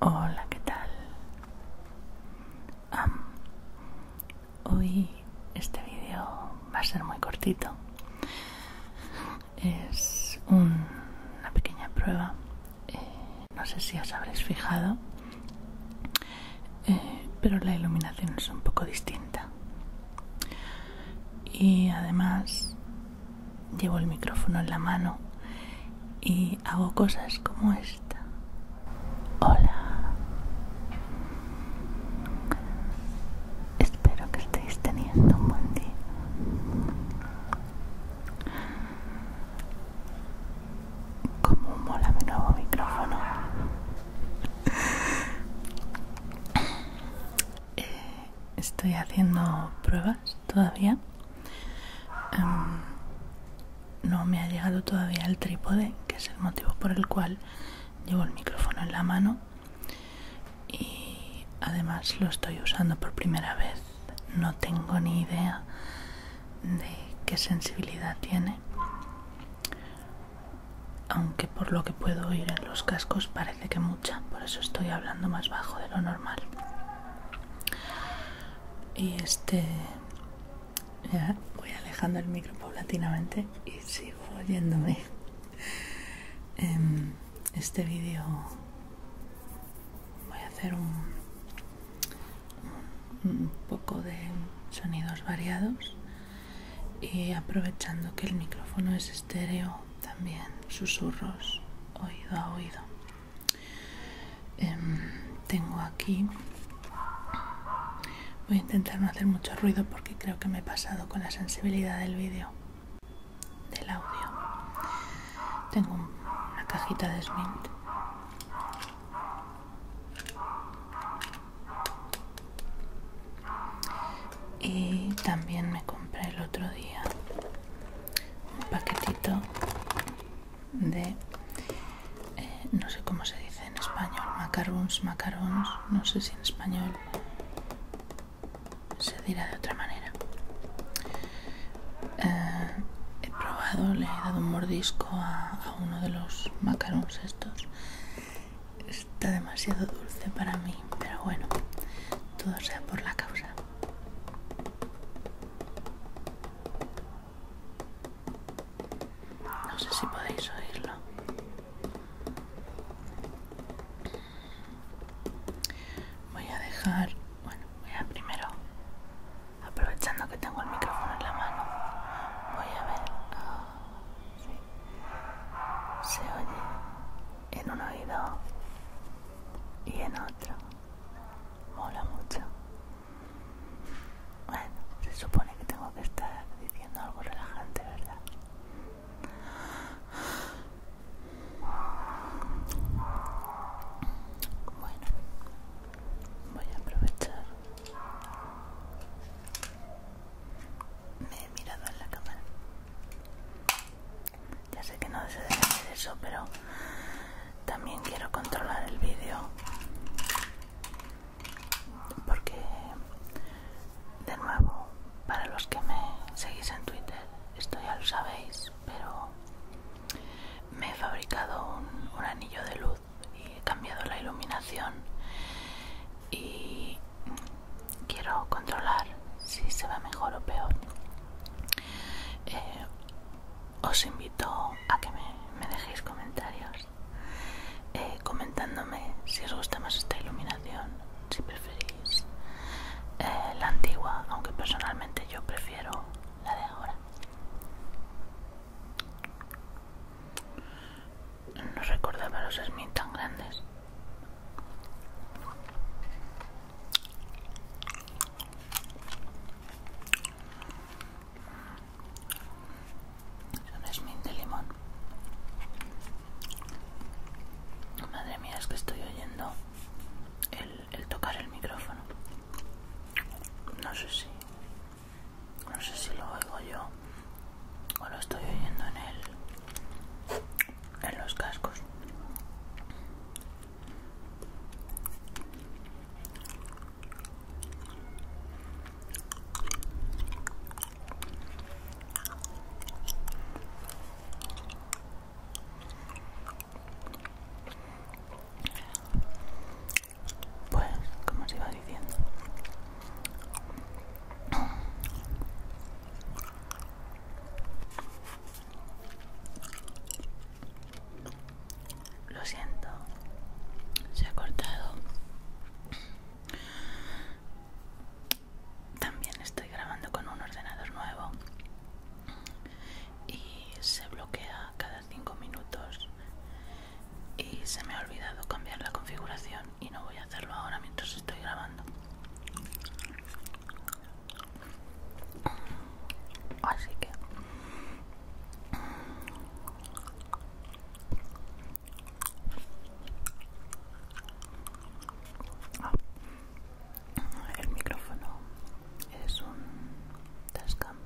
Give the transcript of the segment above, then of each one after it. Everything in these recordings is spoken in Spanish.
Hola, ¿qué tal? hoy este vídeo va a ser muy cortito. Es una pequeña prueba. Eh, no sé si os habréis fijado, eh, pero la iluminación es un poco distinta. Y además llevo el micrófono en la mano y hago cosas como esta. Hola. Espero que estéis teniendo un buen día. Como mola mi nuevo micrófono. Eh, estoy haciendo pruebas todavía. Em, no me ha llegado todavía el trípode, que es el motivo por el cual llevo el micrófono en la mano. Y además lo estoy usando por primera vez. No tengo ni idea de qué sensibilidad tiene. Aunque por lo que puedo oír los cascos parece que mucha, por eso estoy hablando más bajo de lo normal. Y este... voy alejando el micro paulatinamente y sigo oyéndome. Em, este vídeo voy a hacer un poco de sonidos variados y aprovechando que el micrófono es estéreo también susurros oído a oído em, tengo aquí voy a intentar no hacer mucho ruido porque creo que me he pasado con la sensibilidad del vídeo del audio tengo una cajita de smint y también me compré el otro día un paquetito de eh, no sé cómo se dice en español macarons macarons no sé si en español se dirá de otra manera eh, he probado le he dado un mordisco a uno de los macarons estos está demasiado dulce para mí, pero bueno, todo sea por la causa. No sé si podéis oírlo. Voy a dejar, bueno, voy a primero, aprovechando que tengo el micrófono en la mano, voy a ver. Ah, se oye en un oído y en otro. Mola mucho. Bueno, se supone que tengo que estar diciendo algo relajante, ¿verdad? Bueno, voy a aprovechar me he mirado en la cámara ya sé que no deseo debe eso pero también quiero controlar el vídeo porque de nuevo para los que me seguís en twitter esto ya lo sabéis pero me he fabricado un anillo de luz y he cambiado la iluminación y quiero controlar si se va mejor o peor. Eh, os invito a que me, dejéis comentarios eh, comentándome si os gusta más esta iluminación, si preferís eh, la antigua, aunque personalmente yo prefiero la de ahora. No recordaba los Smith tan grandes. Es min de limón. Madre mía, es que estoy oyendo el, el tocar el micrófono. No sé si. No sé si lo oigo yo o lo estoy oyendo en el en los cascos pues como se iba diciendo lo siento, se ha cortado. También estoy grabando con un ordenador nuevo y se bloquea cada 5 minutos y se me ha olvidado cambiar la configuración y no voy a hacerlo ahora mientras estoy grabando. Así que... Ah. el micrófono es un Tascam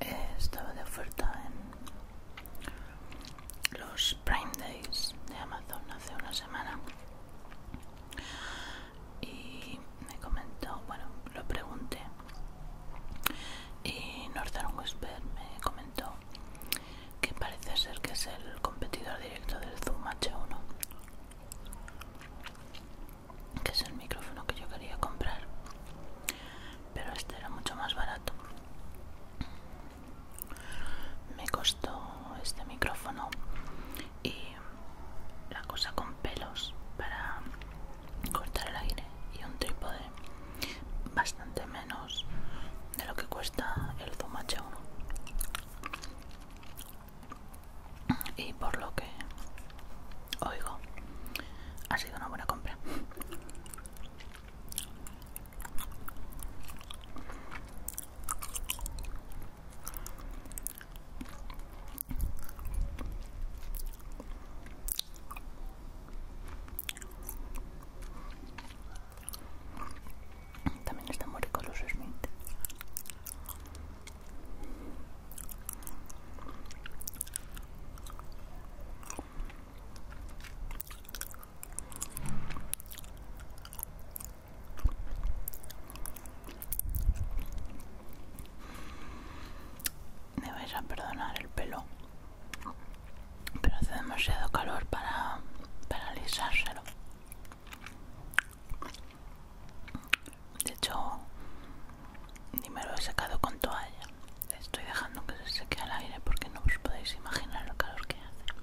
eh, estaba de oferta en los Prime Days de Amazon hace una semana y me comentó, bueno, lo pregunté y Northern Whisper me comentó que parece ser que es el competidor directo del Zoom H1 que es el micrófono que yo quería comprar pero este era mucho más barato me costó este micrófono y la cosa con pelos para cortar el aire y un trípode bastante menos de lo que cuesta el Zoom H1 y por lo que Oigo, ha sido una buena compra. También está muy ricos los Smith. Me vais a perdonar el pelo, pero hace demasiado calor para, para De hecho, ni me lo he secado con toalla. Estoy dejando que se seque al aire porque no os podéis imaginar lo calor que hace.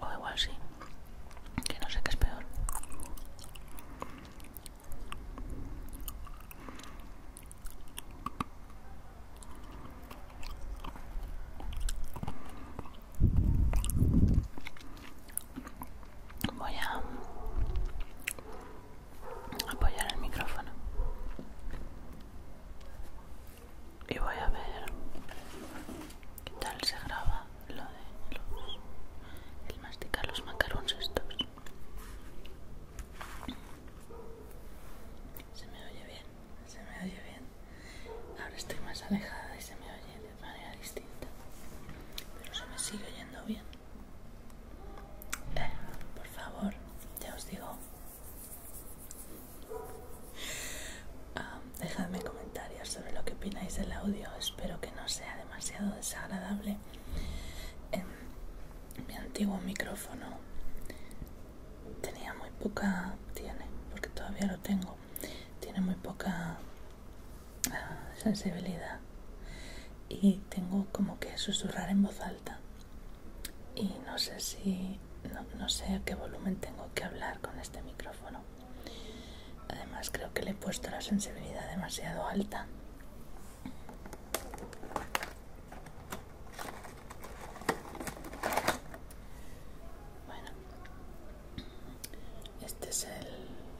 O igual sí, que no sé qué es peor. Voy a apoyar el micrófono y voy a ver qué tal se graba lo de los el masticar los macarons estos se me oye bien se me oye bien ahora estoy más alejada y se me oye de manera distinta pero se me sigue oyendo bien eh, por favor, ya os digo. Ah, dejadme comentarios sobre lo que opináis del audio. Espero que no sea demasiado desagradable. mi antiguo micrófono tenía muy poca. Tiene, porque todavía lo tengo. Tiene muy poca sensibilidad y tengo como que susurrar en voz alta y no sé si no, sé a qué volumen tengo que hablar con este micrófono además creo que le he puesto la sensibilidad demasiado alta bueno este es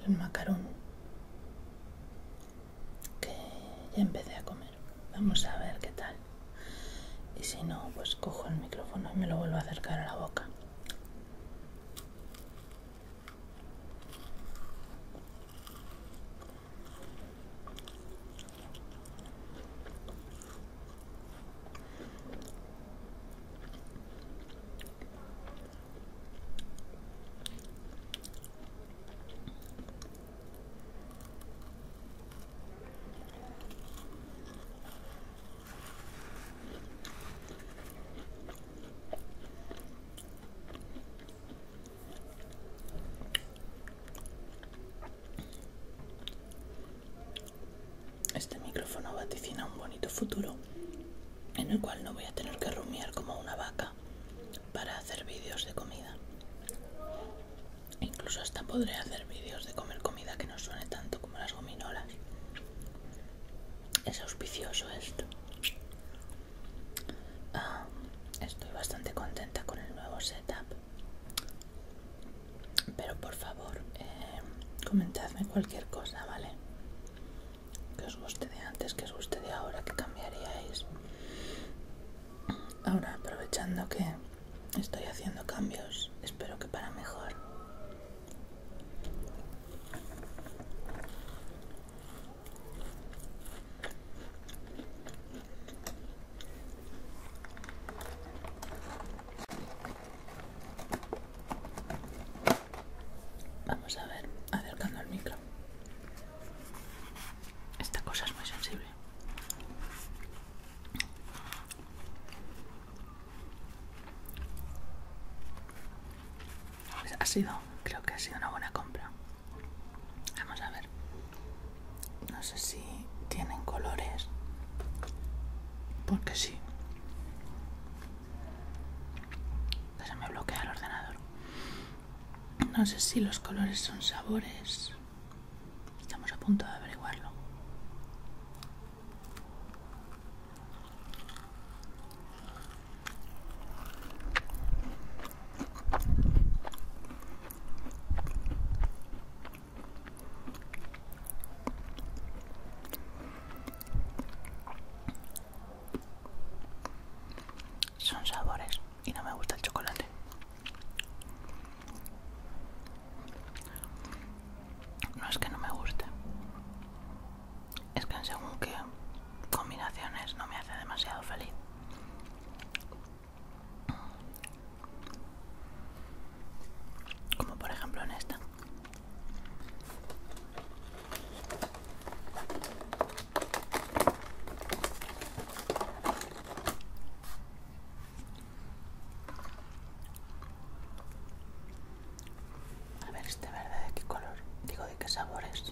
el macarón que ya empecé a comer. Vamos a ver qué tal. Y si no, pues cojo el micrófono y me lo vuelvo a acercar a la boca. Este micrófono vaticina un bonito futuro en el cual no voy a tener que rumiar como una vaca para hacer vídeos de comida. Incluso hasta podré hacer vídeos de comer comida que no suene tanto como las gominolas. Es auspicioso esto. Ah, estoy bastante contenta con el nuevo setup. Pero por favor, eh, comentadme cualquier cosa, ¿vale? que os guste de antes, que os guste de ahora, que cambiaríais. Ahora, aprovechando que estoy haciendo cambios, espero que para mejor. Vamos a ver, acercando el micro. Esta cosa es muy sensible. Pues ha sido, creo que ha sido una buena compra. Vamos a ver. No sé si tienen colores. Porque sí se me bloquea el ordenador no sé si los colores son sabores estamos a punto de averiguarlo son sabores y no me gusta el chocolate. No es que no me guste. Es que según qué combinaciones no me hace demasiado feliz. Como por ejemplo en esta. A ver este verde de qué color, digo de qué sabor es.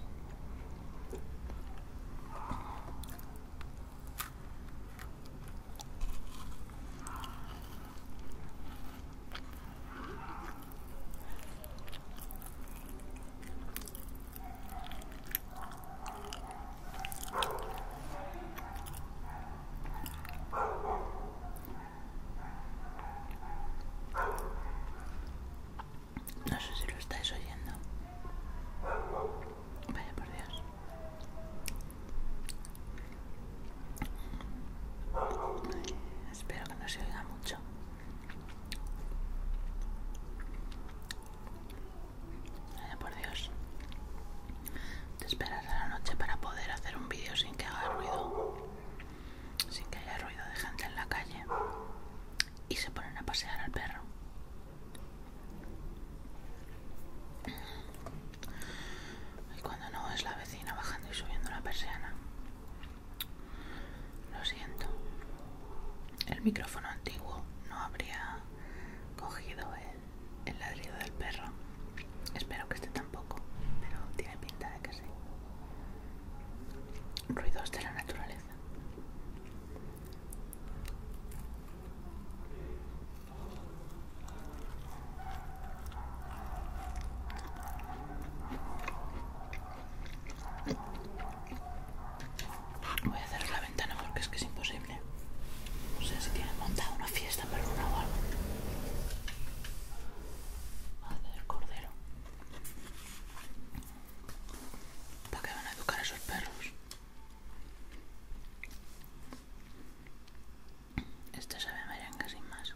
No sé si lo estáis oyendo. Vaya por Dios espero que no se oiga mucho. por Dios. Te esperas a la noche para poder hacer un vídeo sin que haga ruido. Sin que haya ruido de gente en la calle. Y se ponen a pasear al perro y cuando no es la vecina bajando y subiendo la persiana. Lo siento, el micrófono antiguo no habría cogido el, ladrido del perro. Espero que este tampoco, pero tiene pinta de que sí. Ruidos de la naturaleza. Voy a cerrar la ventana porque es que es imposible. No sé si tienen montada una fiesta para una o algo. hacer cordero. ¿Para qué van a educar a esos perros? Este sabe a merengue sin más.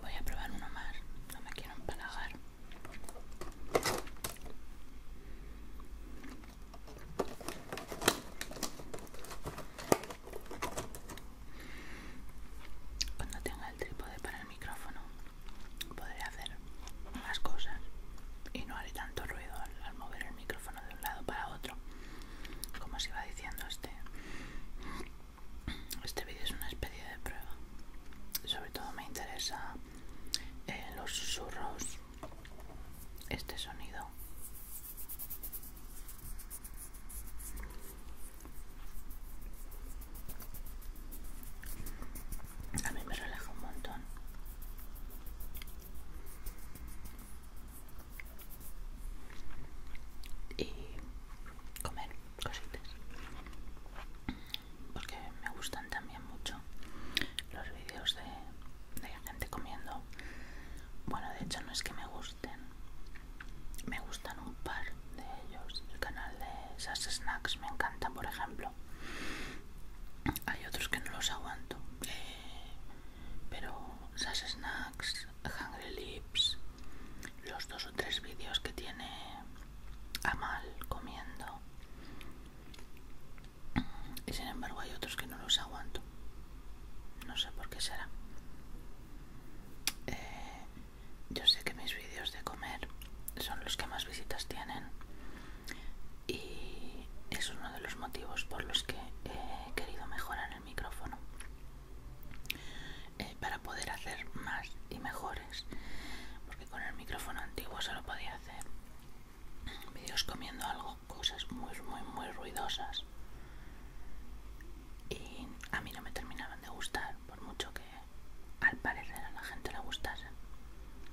Voy a probar uno más, no me quiero empalagar. Cuando tenga el trípode para el micrófono podré hacer más cosas y no haré tanto ruido al, al mover el micrófono de un lado para otro como se iba diciendo este este vídeo es una especie de prueba sobre todo me interesa eh, los susurros este sonido a mí me relaja un montón y comer cositas porque me gustan también mucho los vídeos de, gente comiendo bueno de hecho no es que me gusten me gustan un par de ellos el canal de esas snacks me encanta por ejemplo hay otros que no los aguanto. Eh, pero Sass Snacks, Hungry Lips, los dos o tres vídeos que tiene Amal comiendo. Y sin embargo hay otros que no los aguanto. No sé por qué será. Eh, yo sé que mis vídeos de comer son los que más visitas tienen y es uno de los motivos por los que he querido mejorar el micrófono eh, para poder hacer más y mejores porque con el micrófono antiguo solo podía hacer vídeos comiendo algo cosas muy muy muy ruidosas y a mí no me terminaban de gustar por mucho que al parecer a la gente le gustase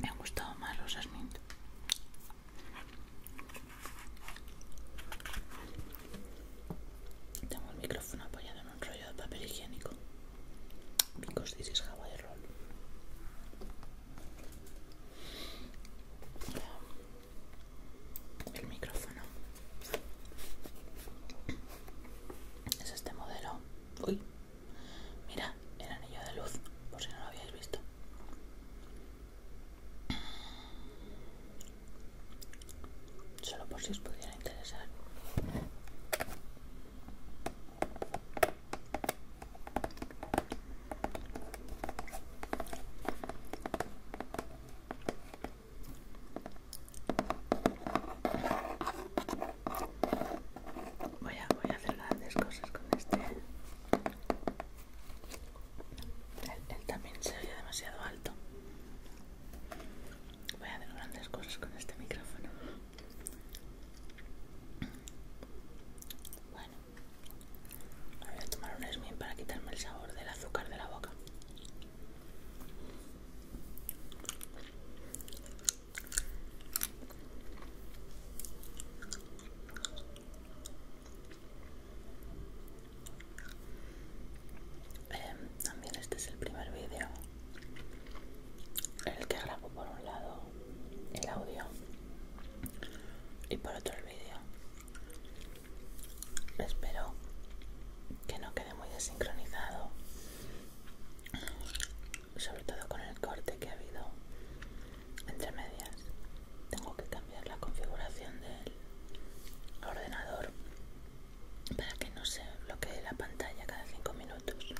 Me han gustado más los asmint. Tengo el micrófono apoyado en un rollo de papel higiénico. Because this is how El micrófono es este modelo. Uy, mira el anillo de luz, por si no lo habíais visto. Solo por si os pudiera interesar. Voy a, voy a hacer grandes cosas con este. Él, también se demasiado alto. Voy a hacer grandes cosas con este micrófono. Bueno, voy a tomar un esmín para quitarme el sabor del azúcar de la boca. Em, también este es el primer vídeo en el que grabo por un lado el audio y por otro el vídeo espero que no quede muy desincronizado sobre todo con el corte que ha habido entre medias tengo que cambiar la configuración del ordenador para que no se bloquee la pantalla cada cinco minutos.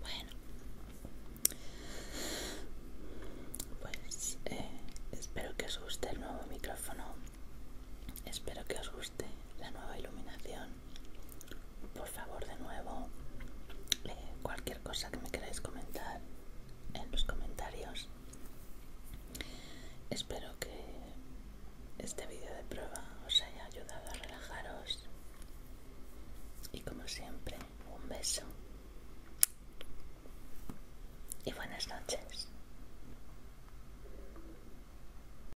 Bueno, pues eh, espero que os guste el nuevo micrófono, espero que os guste la nueva iluminación por favor de nuevo eh, cualquier cosa que me queráis comentar en los comentarios espero que este vídeo de prueba os haya ayudado a relajaros y como siempre un beso y buenas noches